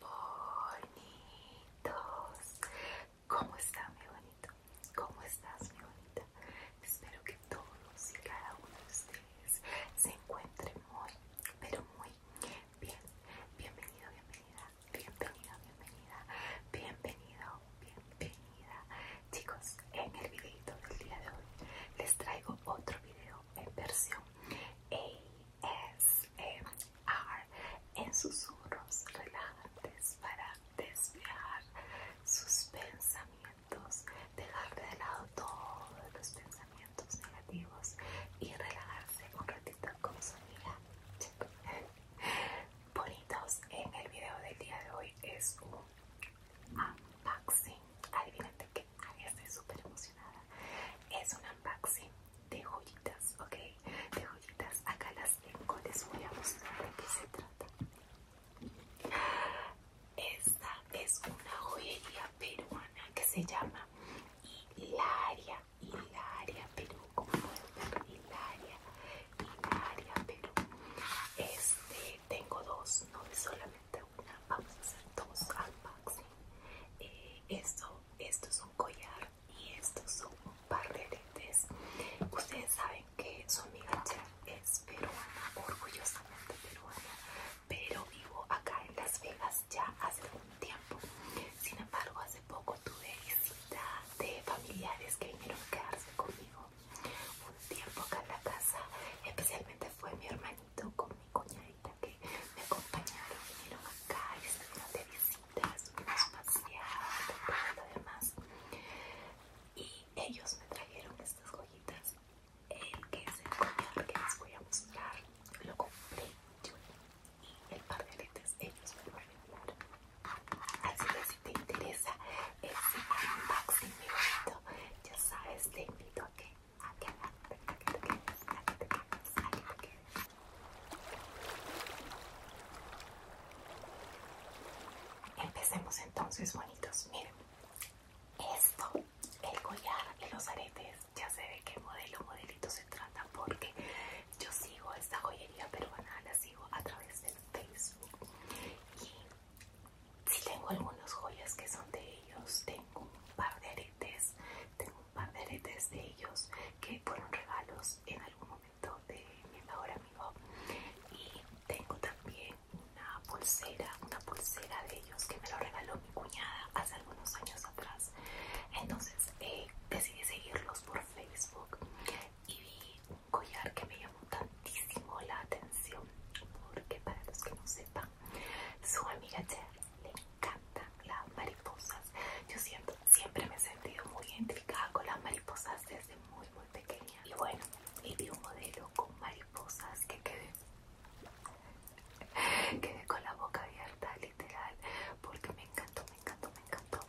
Bonitos, ¿cómo está mi bonito? ¿Cómo estás mi bonita? Espero que todos y cada uno de ustedes se encuentren muy, pero muy bien. Bienvenido, bienvenida, bienvenida, bienvenida, bienvenido, bienvenida. Chicos, en el videito del día de hoy les traigo otro video en versión ASMR en susurros relajantes para desviar sus pensamientos, dejar de lado todos los pensamientos negativos y relajarse un ratito con su amiga. Bonitos, en el video del día de hoy es un unboxing. Adivinen de qué estoy súper emocionada. Es un unboxing de joyitas, ok. De joyitas, acá las tengo. Les voy a mostrar de qué se trata. Esta es una joyería peruana que se llama Hilaria. Hilaria Perú, como pueden ver, Hilaria, Hilaria Perú. Este, tengo dos, no solamente vamos a hacer dos unboxing. Eh, esto, es un collar y estos son un par de lentes. Ustedes saben que su amiga Cher es peruana, orgullosamente peruana, pero vivo acá en Las Vegas ya hace un tiempo. Sin embargo, hace poco tuve visita de familiares que vinieron a quedarse conmigo un tiempo acá en la casa, especialmente fue mi hermanita con mi cuñadita que me acompañaron, vinieron acá y se de visitas, su paseadas, todo lo Y ellos me trajeron estas joyitas, el que es el cuñado que les voy a mostrar, lo compré yo y el par de letras ellos me lo enviar Así que si te interesa el unboxing mi bonito, ya sabes, te invito a que Empecemos entonces, bonitos. Miren, esto, el collar y los aretes, ya se ve qué modelo modelito se trata porque yo sigo esta joyería peruana, la sigo a través del Facebook si tengo algunas joyas que son de ellos, tengo un par de aretes, tengo un par de aretes de ellos que fueron regalos en algún momento de mi mejor amigo y tengo también una pulsera, una pulsera de ellos que me lo regaló mi cuñada hace algunos años atrás. Entonces eh, decidí seguirlos por Facebook y vi un collar que me llamó tantísimo la atención porque para los que no se su amiga Cher le encantan las mariposas. Yo siento, siempre me he sentido muy identificada con las mariposas desde muy, muy pequeña. Y bueno, vi un modelo con mariposas que quedé, quedé con la boca abierta, literal, porque me encantó, me encantó, me encantó.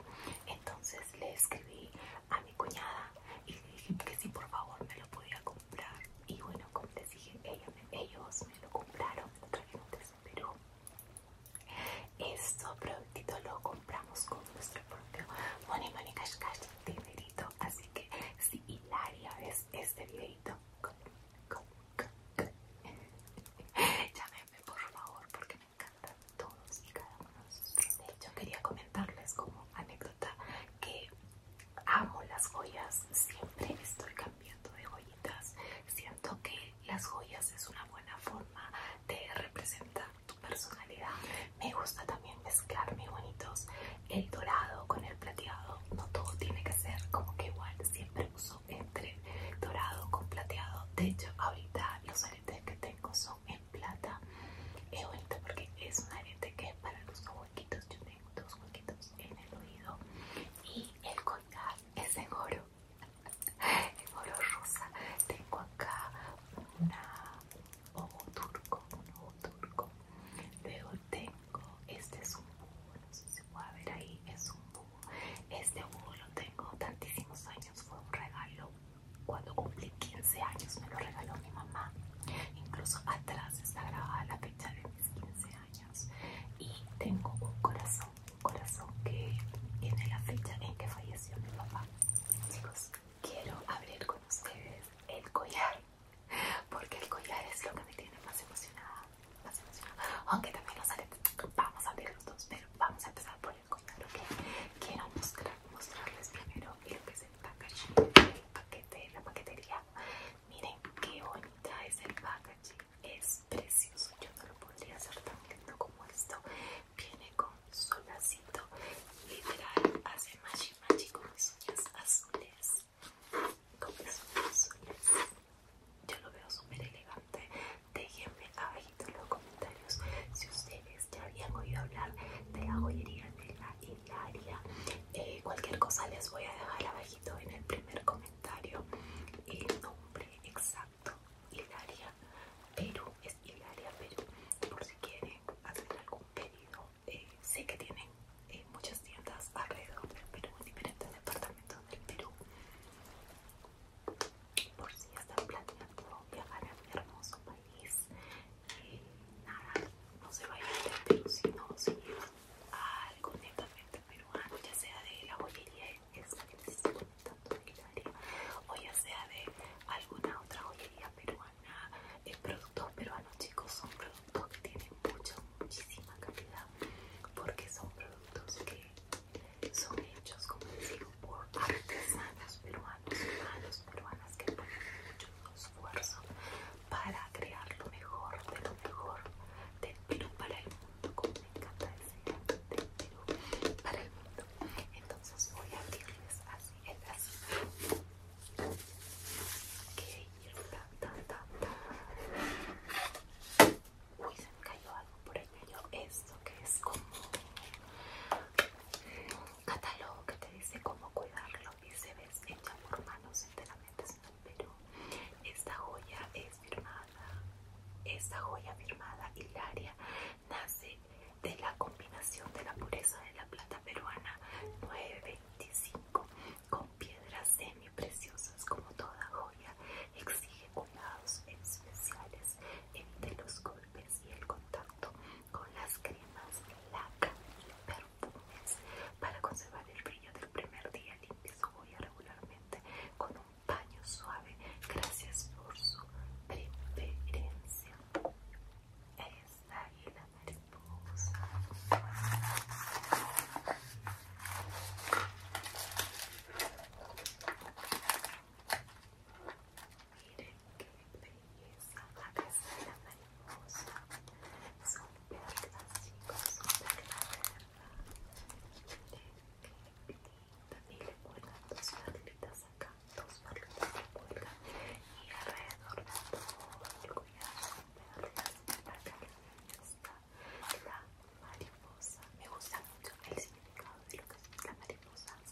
Entonces le escribí a mi cuñada y le dije que si por favor me lo podía comprar y bueno como les dije ellos, me lo compraron pero. trajeron desde Perú esto productito lo compramos con nuestro propio money money cash cash dinerito así que si Hilaria ves este videito llámeme llámenme por favor porque me encantan todos y cada uno de hecho quería comentarles como anécdota que amo las joyas, siempre estoy cambiando de joyitas. Siento que las joyas es una buena forma de representar tu personalidad. Me gusta también mezclar mis bonitos, el dorado con el plateado. No todo tiene que ser como que igual, siempre uso entre dorado con plateado. De hecho, ahorita los aretes que tengo son en plata. Es bonito porque es un arete que es para los ojos yo tengo dos huequitos en el oído y el collar es en oro, en oro rosa. Tengo acá una ojo turco, un ojo turco. Luego tengo, este es un búho, no sé si se puede ver ahí, es un búho. Este búho lo tengo tantísimos años, fue un regalo. Cuando cumplí 15 años me lo regaló mi mamá Incluso atrás está grabada la fecha de mis 15 años. Y tengo un corazón, un corazón que tiene la fecha en que falleció mi papá. Chicos, quiero abrir con ustedes el collar. Porque el collar es lo que me tiene más emocionada. Más emocionada. Aunque también lo sale... Vamos a abrir los dos, pero vamos a empezar por el collar, ¿ok? Quiero mostrarles primero y lo que es el packaging, paquete, la paquetería. Miren qué bonita es el packaging, es precioso. Yo no lo podría hacer tan lindo como esto. Viene con su literal, hace machi machi con mis uñas azules. Con mis uñas azules. Yo lo veo súper elegante. Déjenme abajito en los comentarios si ustedes ya habían oído hablar de la joyería de la Ilaria, eh, cualquier cosa les voy a dejar abajito en el primer comentario el nombre exacto, Ilaria Perú, es Ilaria Perú, por si quieren hacer algún pedido. Eh, sé que tienen eh, muchas tiendas alrededor del Perú, en diferentes departamentos del Perú. Por si están planeando viajar a mi hermoso país, nada, no se vayan de Perú sino si a algo netamente peruano, ya sea de la joyería esa que les estoy comentando o ya sea de alguna otra joyería peruana, El eh, producto peruano chicos son productos que tienen mucha, muchísima calidad porque son productos que son hechos como les por artesanas peruanos, humanos, peruanas que ponen mucho esfuerzo para crear lo mejor de lo mejor del Perú para el mundo, como me encanta decir, del Perú para el mundo. Entonces voy a abrirles así, el así. Uy, se me cayó algo por ahí. Cayó esto que es como catálogo que te dice cómo cuidarlo y se hecha por manos enteramente Perú esta joya es firmada esta joya firmada Hilaria nace de la combinación de la pureza de la plata peruana 925 con piedras semi preciosas como toda joya exige cuidados especiales entre los golpes y el contacto con las cremas laca y perfumes para conservar el brillo del primer día limpia su boya regularmente con un paño suave gracias por su preferencia esta y la mariposa read it, can you please? Like I said, i dos perlitas acá, dos perlitas le cuelgan y alrededor de todo el collar son perlas. Acá está la mariposa. Me gusta mucho el significado de lo que es la mariposa.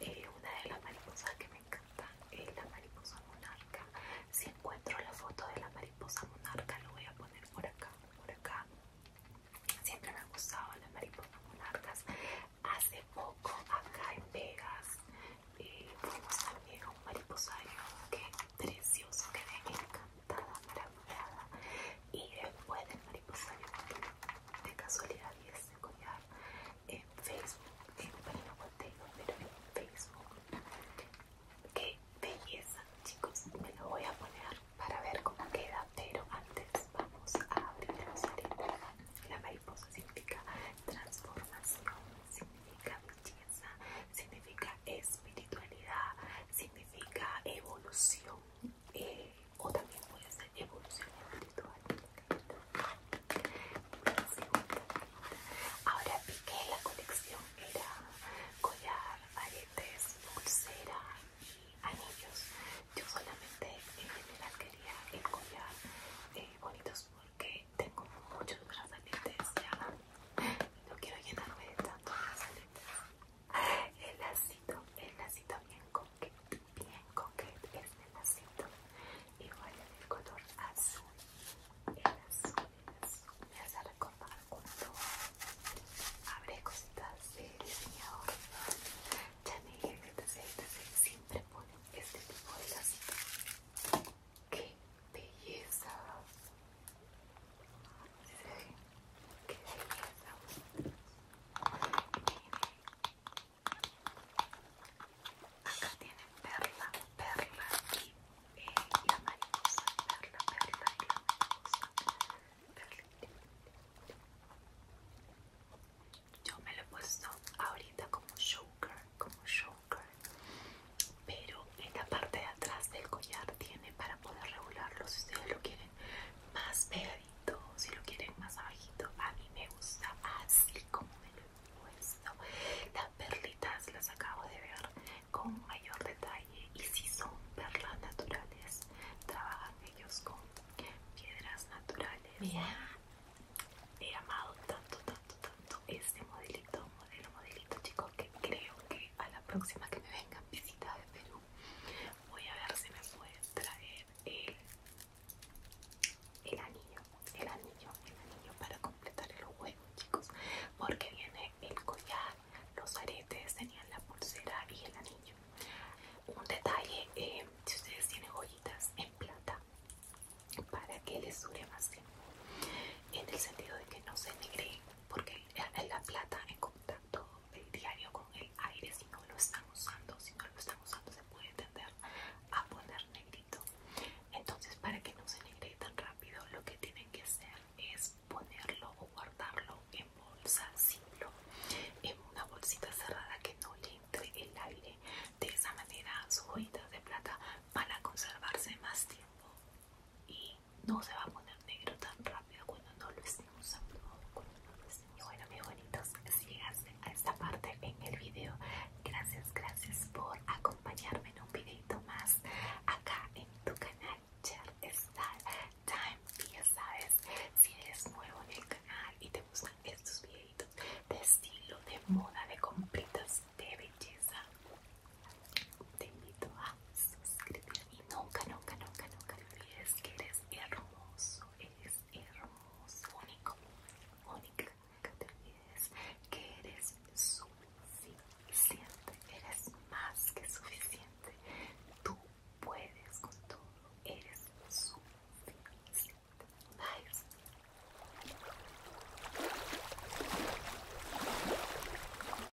Eh, una de las mariposas que me encanta es la mariposa monarca. Si encuentro la foto de la mariposa monarca, lo voy a poner por acá, por acá. Siempre me han gustado las mariposas monarcas. Hace poco, acá en Vegas, eh, fuimos también a un mariposario que precioso, que quedé encantada, maravillada. Y después de casualidad y es collar en Facebook, que pero en Facebook. que belleza, chicos. Me lo voy a poner para ver cómo queda, pero antes vamos a abrir los aretes. La mariposa significa transformación, significa belleza, significa espiritualidad, significa evolución. Eh, o también voy a hacer evolución espiritual ahora vi que la colección era collar, aretes, pulsera y anillos yo solamente en general quería el collar eh, bonitos porque tengo muchos brazaletes ya no quiero llenarme de tantos brazaletes el lacito, el lacito bien qué bien con el lacito. Igual el color azul, el azul, el azul. Me hace recordar cuando habré cositas de diseñador. Ya me dije que siempre ponen este tipo de lacito. ¡Qué belleza! que Acá tienen perla, perla y, la eh, mariposa, perla, perla y la mariposa. Perla. Yo me lo he puesto ahorita como sugar, como sugar, pero en la parte de atrás del collar tiene para poder regularlo si ustedes lo quieren más si lo quieren más abajito, a mí me gusta así como me lo he puesto. Las perlitas las acabo de ver con mayor detalle y si son perlas naturales, trabajan ellos con piedras naturales. Mira, he amado tanto, tanto, tanto este modelito, modelo, modelito, chicos, que creo que a la próxima que me vengan visita de Perú voy a ver si me pueden traer el, anillo el anillo el anillo para completar el juego chicos porque viene el collar los aretes tenían la pulsera y el anillo un detalle eh, si ustedes tienen joyitas en plata para que les dure más tiempo en el sentido de que no se negre porque la plata en contacto el diario con el aire si no lo están usando si no lo están usando se puede tender a poner negrito entonces para que no se negre tan rápido lo que tienen que hacer es ponerlo o guardarlo en bolsa simple en una bolsita cerrada que no le entre el aire de esa manera sus hojitas de plata van a conservarse más tiempo y no se va a poner negro tan rápido cuando no lo estemos usando cuando no Y bueno, mis bonitos, si llegaste a esta parte en el video, gracias, gracias por acompañarme en un videito más acá en tu canal Cher Style Time. ya sabes, si eres nuevo en el canal y te gustan estos videitos de estilo, de moda, de compritas, de belleza te invito a suscribirte y nunca, nunca, nunca, nunca olvides que eres hermoso, eres hermoso, único, única, nunca te olvides que eres suficiente, eres más que suficiente, tú puedes con todo, eres suficiente. Bye.